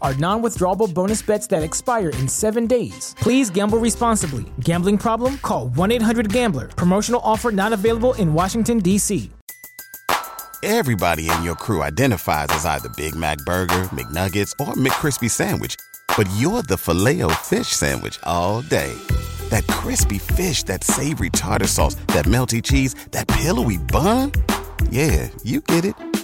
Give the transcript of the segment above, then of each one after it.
are non withdrawable bonus bets that expire in seven days. Please gamble responsibly. Gambling problem? Call 1 800 Gambler. Promotional offer not available in Washington, D.C. Everybody in your crew identifies as either Big Mac Burger, McNuggets, or McCrispy Sandwich, but you're the filet o fish Sandwich all day. That crispy fish, that savory tartar sauce, that melty cheese, that pillowy bun. Yeah, you get it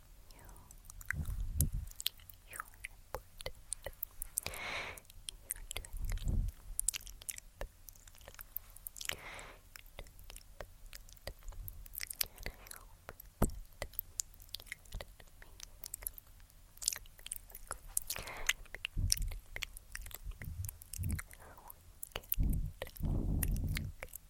You, you're important. You're doing your and I hope that you had an amazing, amazing, amazing weekend. Okay.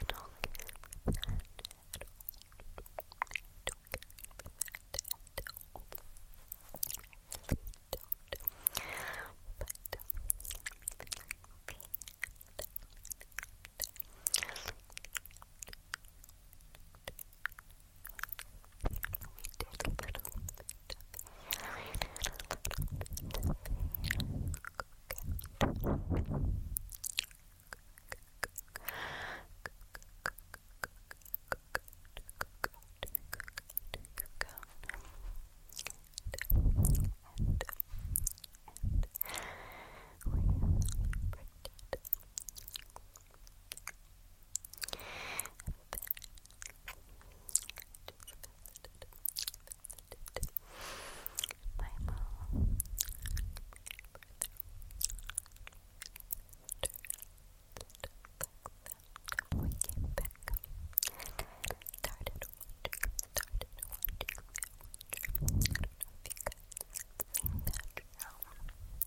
and all I care about that at all. I don't care about that at all. I really don't. But everything I'm okay we did a little bit of, we did a little bit of, Visited, visited, my mom, we came back and started watching, started watching I don't know if you guys seen that now.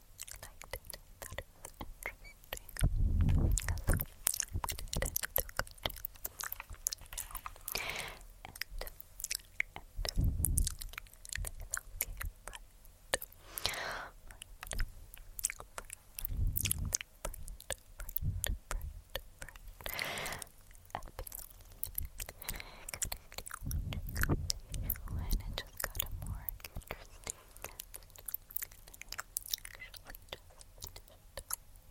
liked it, thought it was interesting. So I went ahead and took it now. And, and, and it's okay, but and I just I've got a more interesting guest. Actually, just so I keep getting my social videos out because,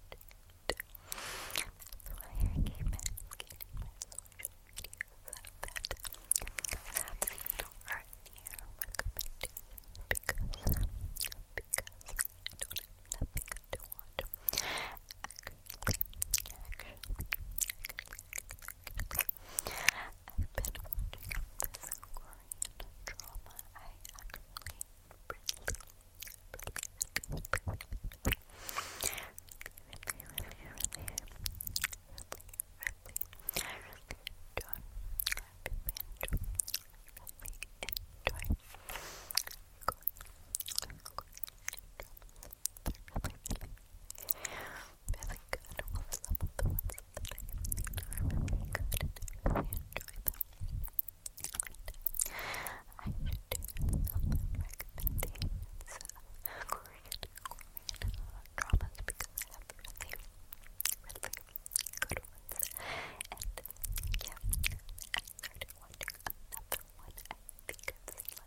because I don't have nothing to watch. I've been watching this Korean drama. I actually really, really, really, really, really, really, I really enjoy. I've been enjoying, really enjoy Korean, Korean drama. They're really, really really good. What some of the ones that I really enjoyed I should do some recommendations of Korean, Korean uh, dramas because I have really, really good ones. And yeah, I started watching another one. I think it's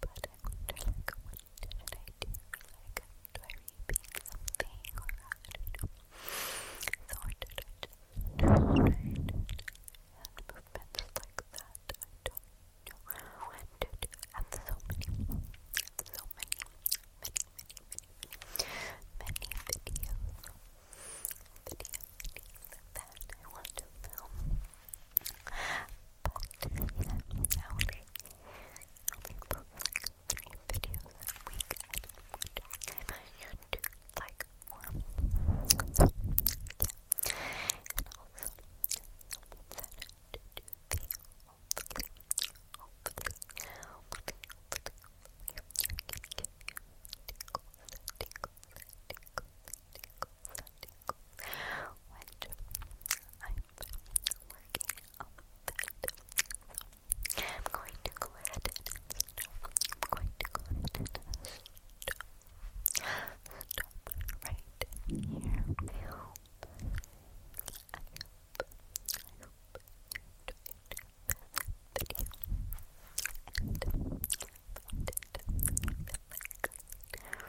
But I wonder, like, what should I do? Like, do I repeat something or not? I don't know. So I and movements like that. I don't know when to I have so many, so many, many, many, many, many, many videos. Video, that I want to film. But yeah, I only, only like three videos a week at one time on YouTube, like one. yeah. And also someone said to do the hopefully, hopefully, hopefully, hopefully, hopefully you can get your tickles, tickles, tickles, tickles tingles, I'm working on that. I'm going to go ahead and stop. I'm going to go ahead and stop. right here. I hope, I hope, I hope you enjoyed this video.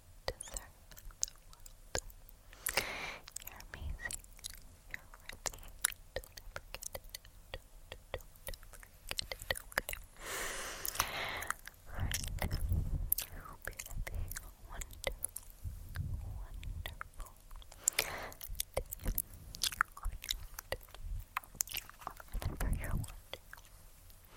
deserve You're amazing. You're worthy. Don't forget it. Don't, don't, don't forget it. I hope you're having wonderful, wonderful day. Whenever you're watching.